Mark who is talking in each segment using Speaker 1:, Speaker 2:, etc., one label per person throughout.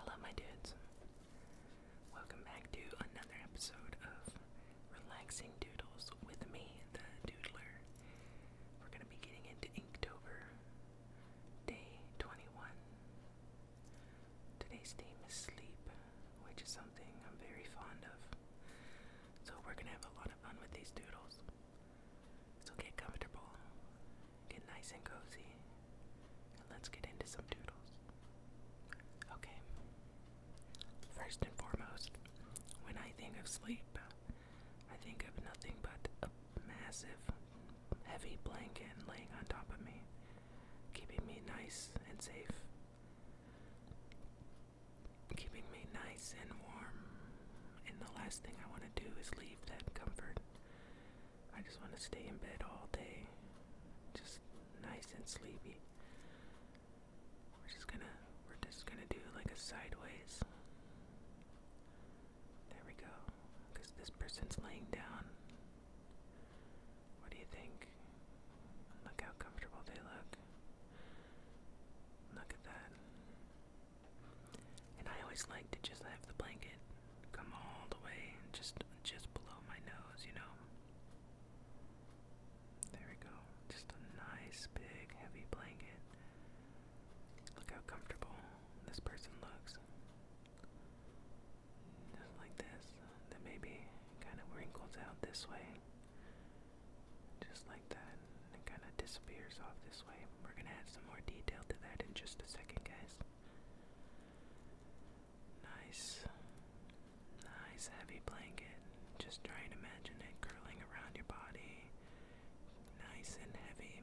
Speaker 1: Hello, my dudes. Welcome back to another episode of Relaxing Doodles with me, the Doodler. We're going to be getting into Inktober, day 21. Today's theme is sleep, which is something I'm very fond of. So, we're going to have a lot of fun with these doodles. So, get comfortable, Get nice and cozy. And let's get into some doodles. Okay. First and foremost, when I think of sleep, I think of nothing but a massive, heavy blanket laying on top of me, keeping me nice and safe. Keeping me nice and warm, and the last thing I want to do is leave that comfort I just want to stay in bed all day, just nice and sleepy. We're just gonna, we're just gonna do like a sideways. There we go. Cause this person's laying down. What do you think? Look how comfortable they look. Look at that. And I always like to just have the blanket come all the way just just below my nose, you know. There we go. Just a nice big heavy blanket. Look how comfortable this person looks. Just like this. Then maybe kind of wrinkles out this way. Just like that. And kind of disappears off this way. We're gonna add some more detail to that in just a second, guys. Nice, nice heavy blanket. Just try and imagine it curling around your body, nice and heavy,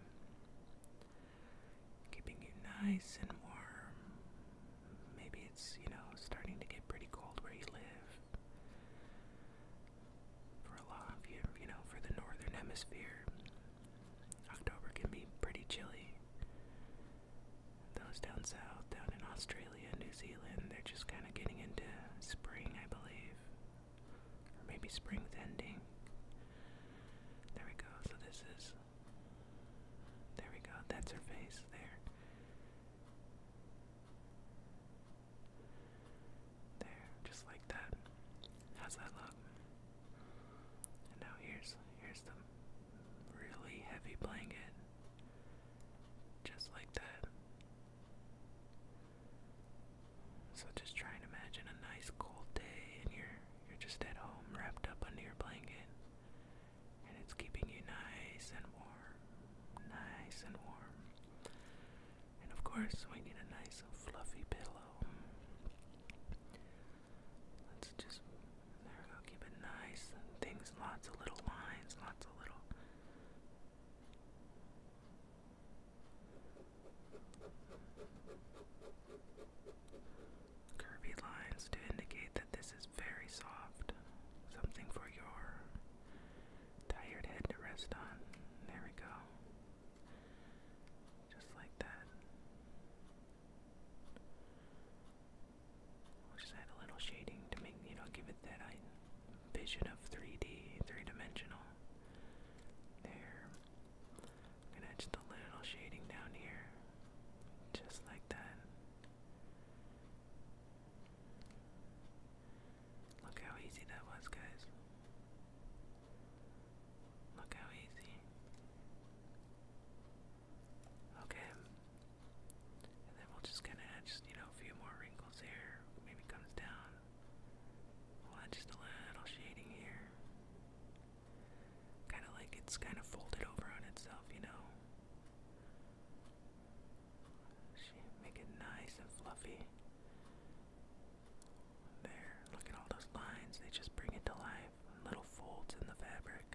Speaker 1: keeping you nice and warm. Maybe it's, you know, starting to get pretty cold where you live. For a lot of you, you know, for the northern hemisphere, October can be pretty chilly. Those down south, down in Australia, New Zealand, they're just kind of getting into spring, I believe. Or maybe spring's ending. There we go, so this is. There we go, that's her face there. There, just like that. How's that look? And now here's here's the really heavy blanket. Just like that. So just try and imagine a nice cold day and you're you're just at home wrapped up under your blanket. And it's keeping you nice and warm. Nice and warm. And of course we need a nice fluffy pillow. Let's just, there we go, keep it nice. things, lots of little lines, lots of little. Curvy lines to indicate that this is very soft, something for your tired head to rest on. There we go. Just like that. just add a little shading to make, you know, give it that vision of 3D, three-dimensional. There. gonna add just a little shading down here. Just like that. Look how easy that was, guys. Look how easy. Okay. And then we'll just kinda add you know, a few more wrinkles here. Maybe comes down. add just a little shading here. Kinda like it's kinda folded over on itself, you know. Make it nice and fluffy. There, look at all those lines. They just bring it to life. Little folds in the fabric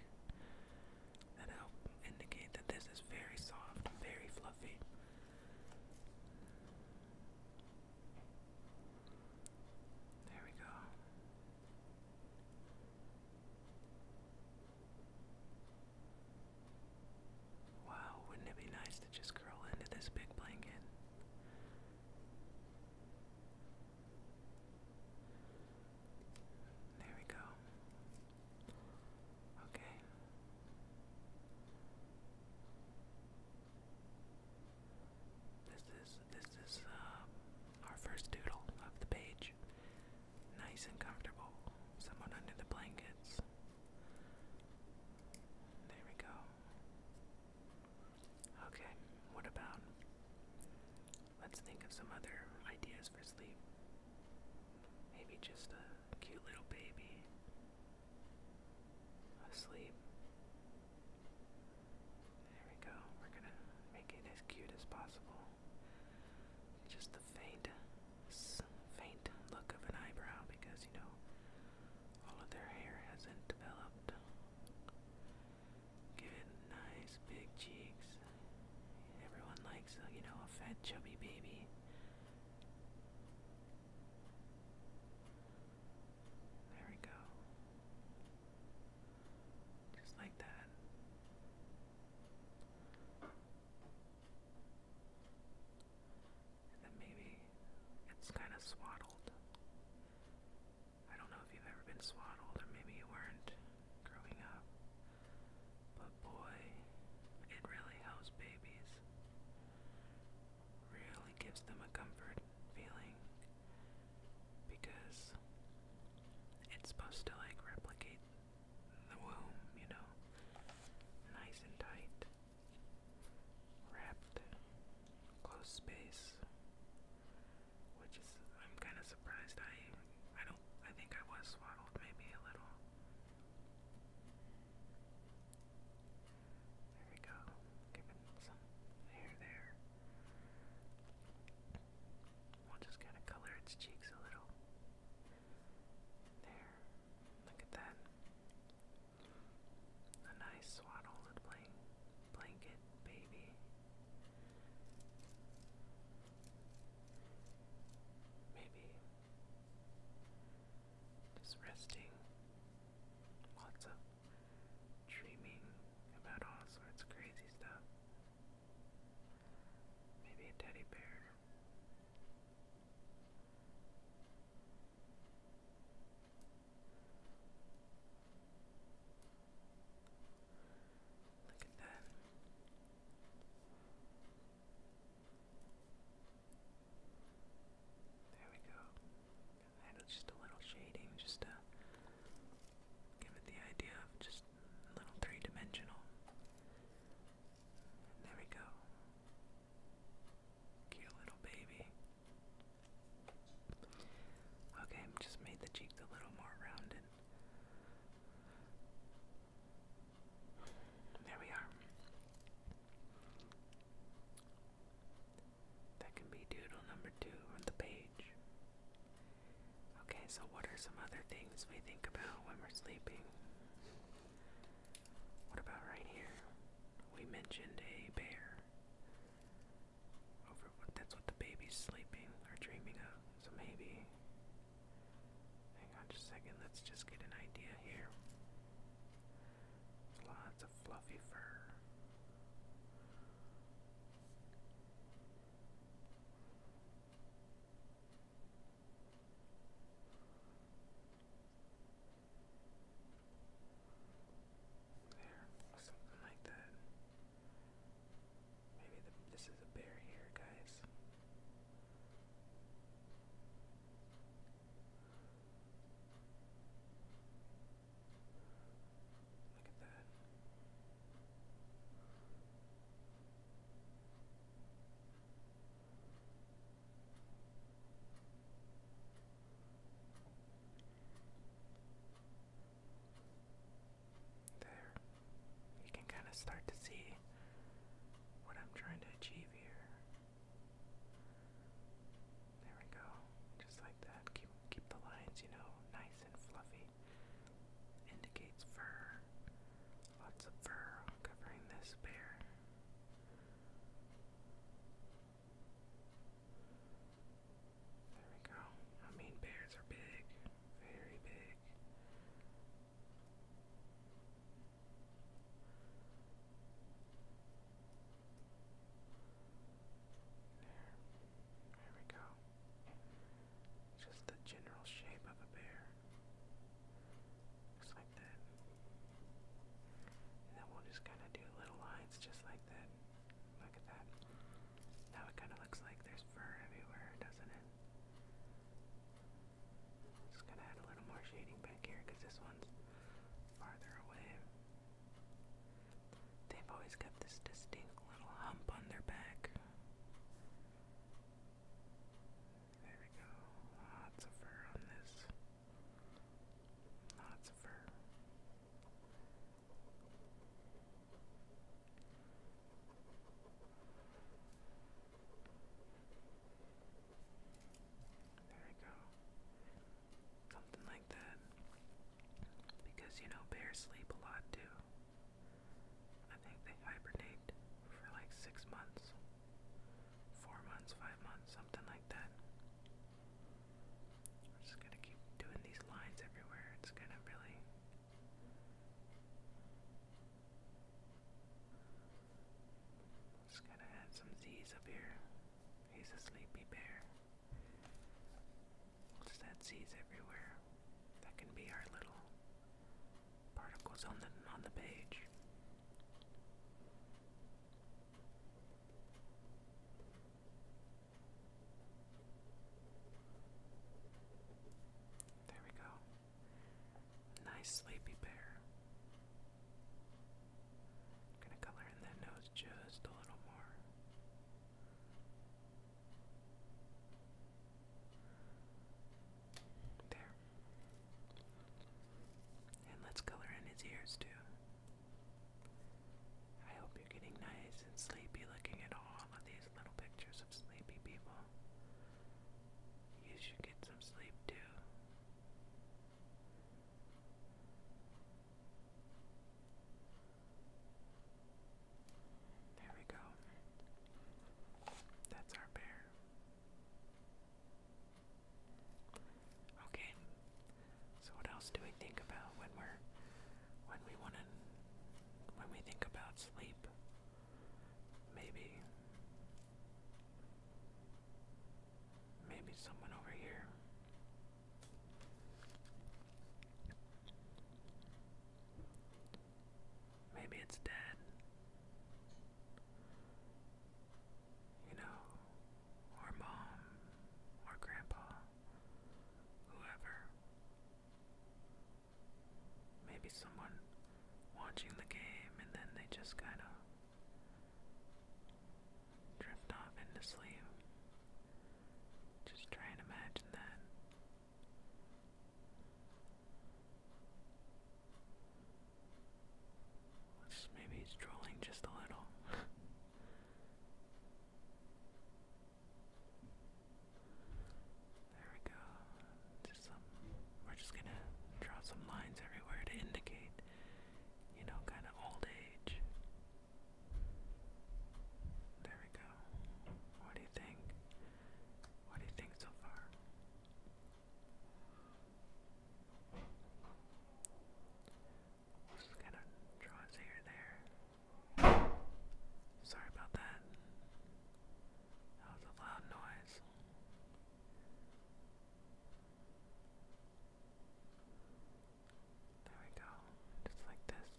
Speaker 1: that help indicate that this is very soft, very fluffy. There we go. Wow, wouldn't it be nice to just curl into this big blanket? There we go. Okay. This is this is uh, our first doodle of the page. Nice and comfortable. Someone under the blankets. There we go. Okay, what about. Let's think of some other ideas for sleep. Maybe just a cute little baby asleep. There we go. We're gonna make it as cute as possible. Just the faint, faint look of an eyebrow because you know all of their hair hasn't developed. Give nice big cheeks. Everyone likes, uh, you know, a fat, chubby baby. There we go. Just like that. then maybe it's kind of swaddled. I don't know if you've ever been swaddled, or maybe you weren't growing up, but boy, it really helps babies. Really gives them a comfort feeling because it's supposed to like replicate the womb, you know, nice and tight, wrapped, close space. Which is I'm kind of surprised. I I don't I think I was swaddled maybe a little. There we go. Giving some hair there. We'll just kind of color its cheeks a little. There. Look at that. A nice swaddled blank blanket baby. Maybe just resting, lots of dreaming about all sorts of crazy stuff. Maybe a teddy bear. Look at that. There we go. just a little shading, just to give it the idea of just a little three dimensional. there we go. Cute little baby. Okay, just made the cheeks a little more rounded. There we are. That can be doodle number two on the page. Okay, so what are some other things we think about when we're sleeping? What about right here? We mentioned a bear that's what the baby's sleeping or dreaming of. So maybe hang on just a second, let's just get an idea here. There's lots of fluffy fur. There, something like that. Maybe this is a bear here, guys. Look at that. There. You can kind of start to see what I'm trying to achieve here. There we go. Just like that. Keep keep the lines, you know, nice and fluffy. Indicates fur. Lots of fur covering this bear. There we go. I mean, bears are big, very big. There. There we go. Just the general shape of a bear. Just like that. And then we'll just kind of do little lines just like that. Look at that. Now it kind of looks like there's fur everywhere, doesn't it? Just gonna add a little more shading back here because this one's farther away. They've always got this distinct little hump on their back. There we go. Lots of fur on this. Lots of fur. There we go. Something like that. Because, you know, bears sleep a lot too. I think they hibernate for like six months, four months, five months, something like that. I'm just gonna keep doing these lines everywhere. It's gonna really just gonna add some Z's up here. He's a sleepy bear. Just add Z's everywhere. That can be our little particles on the on the page. There we go. Nice sleepy bear. gonna color in that nose just a little more. There. And let's color in his ears too. I hope you're getting nice and sleepy looking at all of these little pictures of sleepy people. You should get some sleep too. There we go. That's our bear. Okay. So what else do we think about when we're when we want to when we think about sleep? Maybe maybe someone over here. Maybe it's dead. You know, or mom, or grandpa, whoever. Maybe someone watching the game and then they just kind of drift off into sleep. Just try and imagine that. maybe he's trolling just a little. There we go. Just some, we're just gonna draw some lines everywhere to indicate, you know, kind of old age. There we go. What do you think? What do you think so far? Just kind of draws here and there. Sorry about that. That was a loud noise. There we go. Just like this.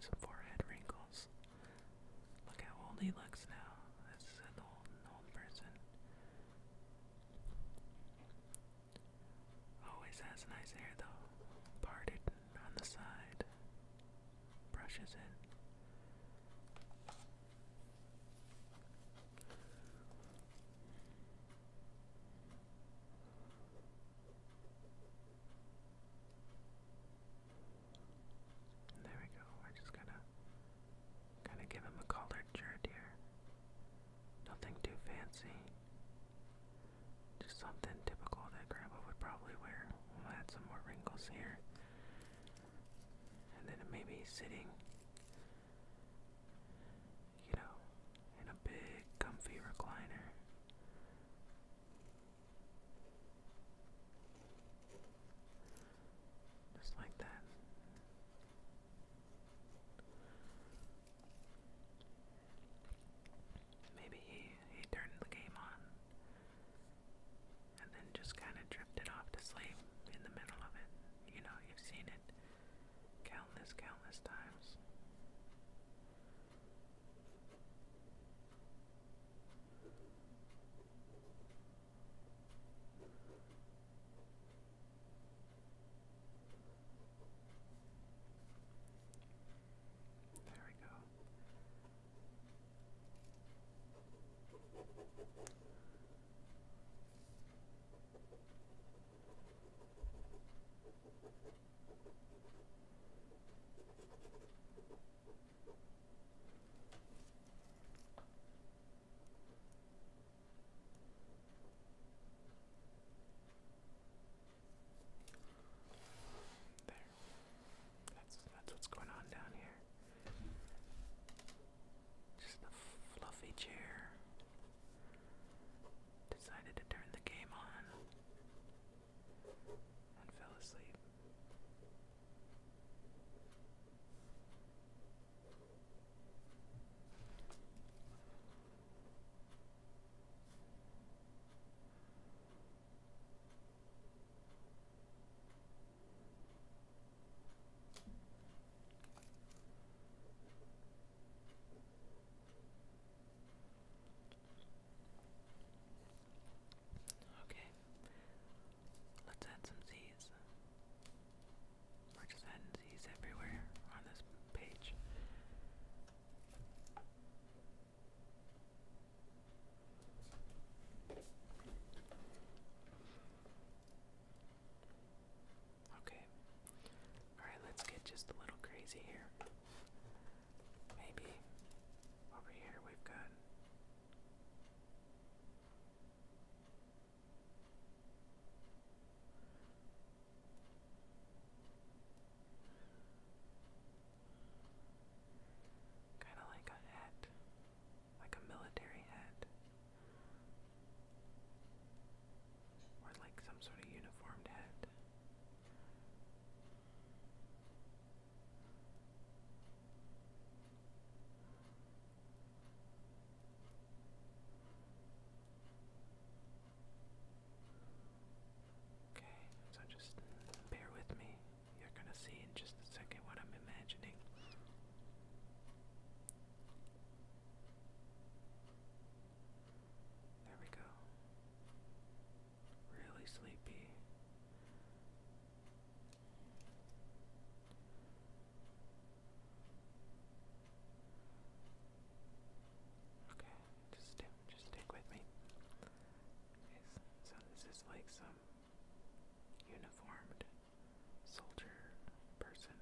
Speaker 1: Some forehead wrinkles. Look how old he looks now. This is an old, old person. Always has nice hair though. Parted on the side. Brushes in. There we go. We're just gonna kinda give him a collared shirt here. Nothing too fancy. Just something typical that grandma would probably wear. add some more wrinkles here. And then maybe sitting you know, in a big comfy recliner. Just like that. Maybe he, he turned the game on and then just kind of drifted off to sleep in the middle of it. You know, you've seen it countless, countless times. There we go. There. That's that's what's going on down here. Just a fluffy chair. Decided to turn the game on and fell asleep. Okay. Let's add some Z's. We're just adding Z's everywhere on this page. Okay. Alright, let's get just a little crazy here. Maybe over here we've got. Kind of like a hat, like a military hat. Or like some sort of uniformed head. Okay, so just bear with me. You're gonna see in just a second what I'm imagining. There we go. Really sleepy. Okay, just stick, just stick with me. so this is like some uniformed soldier person.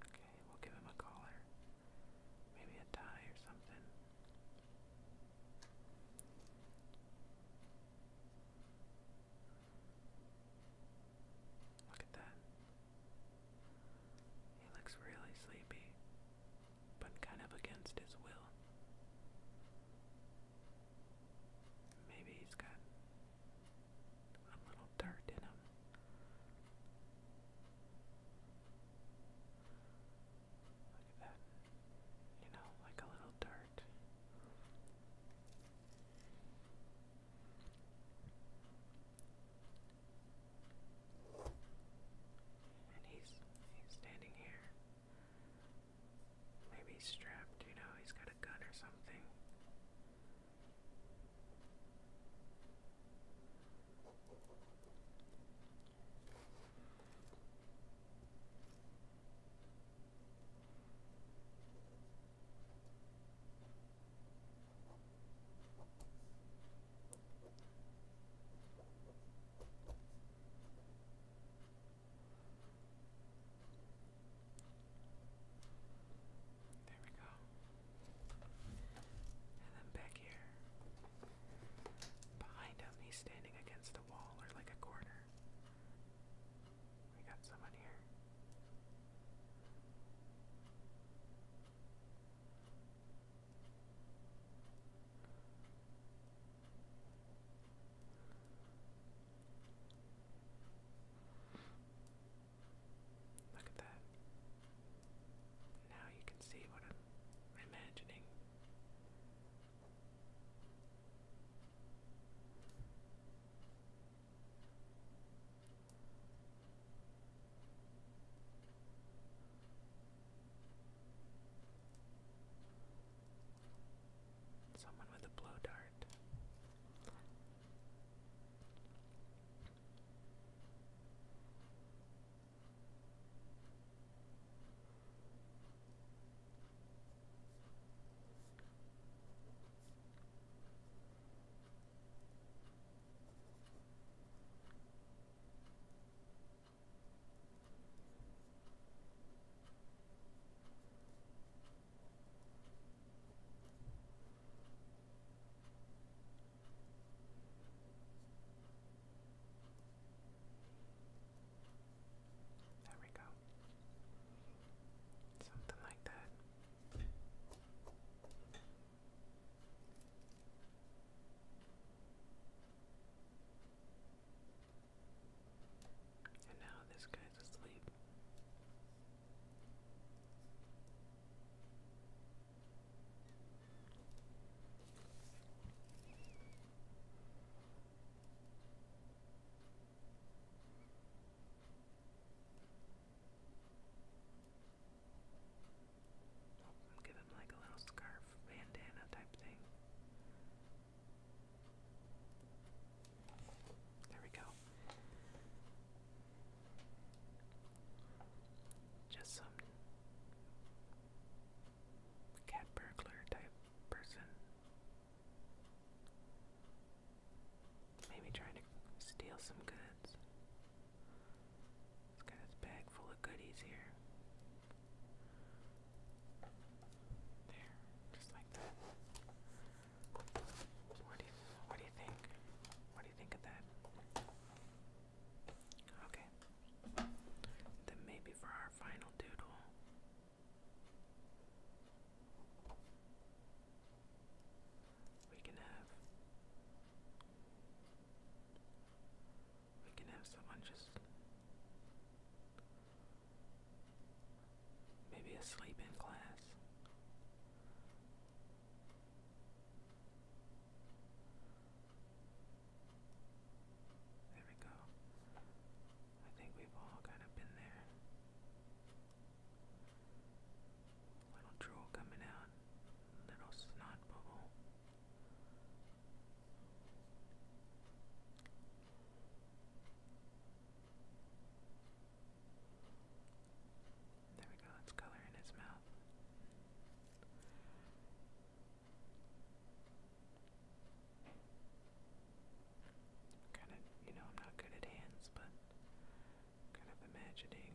Speaker 1: Okay, we'll give him a collar. Maybe a tie or something. Look at that. He looks really sleepy, but kind of against his will. Maybe he's got a little dirt in him. Look at that. You know, like a little dirt. And he's he's standing here Maybe he's strapped, you know, he's got a gun or something. There we go. And then back here. Behind him, he's standing against a wall or like a corner. We got someone here. Look at that. Now you can see what I'm imagining. Someone with a blow dart. There we go. Something like that. And now this guy's asleep. Give him like a little scarf bandana type thing. There we go. Just some cat burglar type person. Maybe trying to steal some goods. It's got his bag full of goodies here. There, just like that. What do you what do you think? What do you think of that? Okay. Then maybe for our final doodle. We can have we can have someone just Maybe asleep in class. There we go. I think we've all kind of been there. Little drool coming out, little snot bubble. There we go, it's color in his mouth. Kind of, you know, I'm not good at hands, but kind of imagining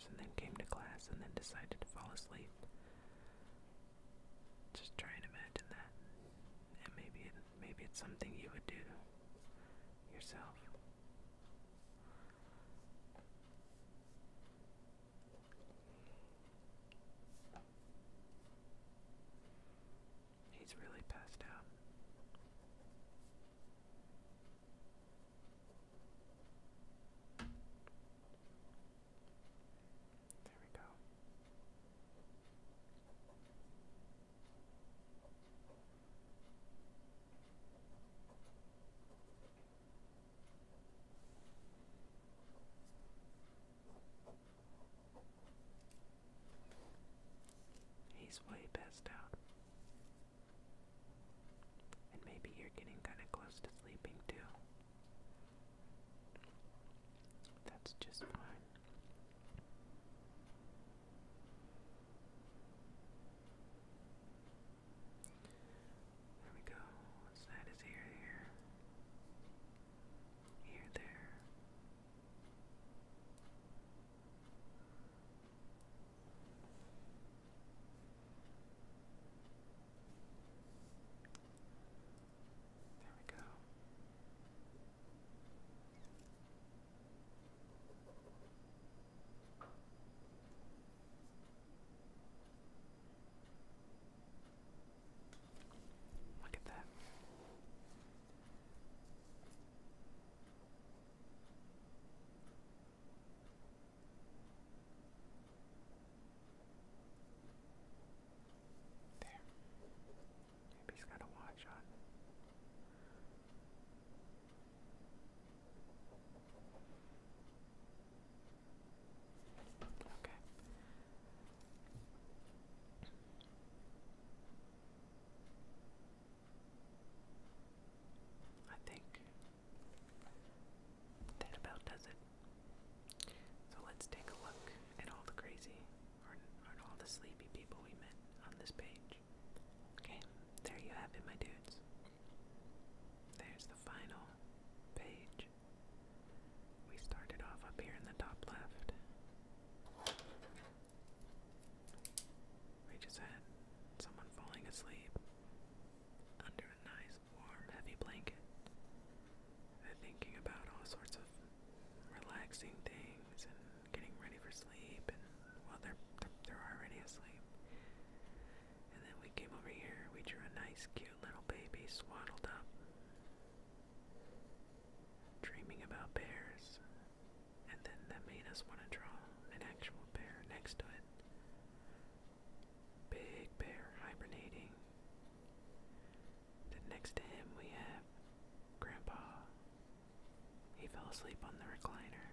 Speaker 1: and then came to class and then decided to fall asleep. Just try and imagine that. And maybe maybe it's something you would do yourself. He's really passed out. There we go. He's way passed out. And maybe you're getting kind of close to sleeping too. That's just fine. There we go. What's that? Is here, here, here, there. There we go. Look at that. There. Maybe he's got a watch on. Okay. I think that about does it. So let's take a look at all the crazy or, all the sleepy people we met on this page. Okay, there you have it, my dudes. There's the final page. We started off up here in the top left. We just had someone falling asleep under a nice, warm, heavy blanket. They're thinking about all sorts of relaxing things and getting ready for sleep, and well, they're, they're already asleep. And then we came over here, we drew a nice, cute little baby swaddled up, dreaming about bears. And then that made us want to draw an actual bear next to it. Big bear hibernating. Then next to him we have Grandpa. He fell asleep on the recliner.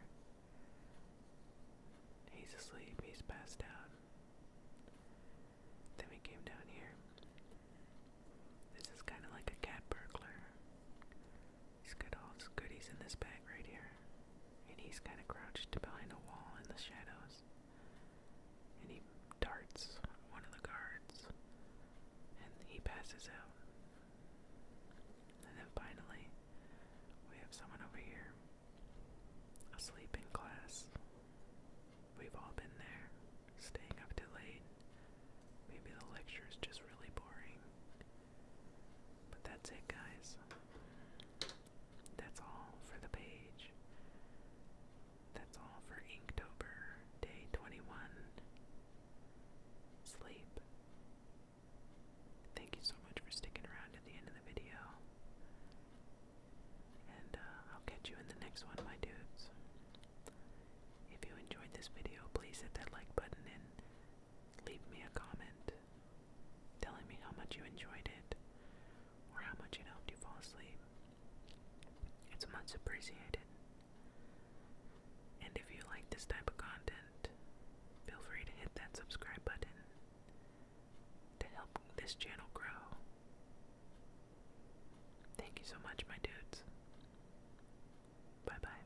Speaker 1: He's asleep, he's passed out. Then we came down here. This is kind of like a cat burglar. He's got all his goodies in this bag right here. And he's kind of crouched behind a wall in the shadows. And he darts one of the guards. And he passes out. And then finally, we have someone over here asleep in class. We've all been there, staying up too late. Maybe the lecture is just really boring. But that's it, guys. That's all for the page. That's all for Inktober, day 21. Sleep. Thank you so much for sticking around to the end of the video. And uh, I'll catch you in the next one, my dudes. If you enjoyed this video, please hit that like button and Leave me a comment telling me how much you enjoyed it or how much it helped you fall asleep. It's much appreciated. And if you like this type of content, feel free to hit that subscribe button to help this channel grow. Thank you so much, my dudes. Bye bye.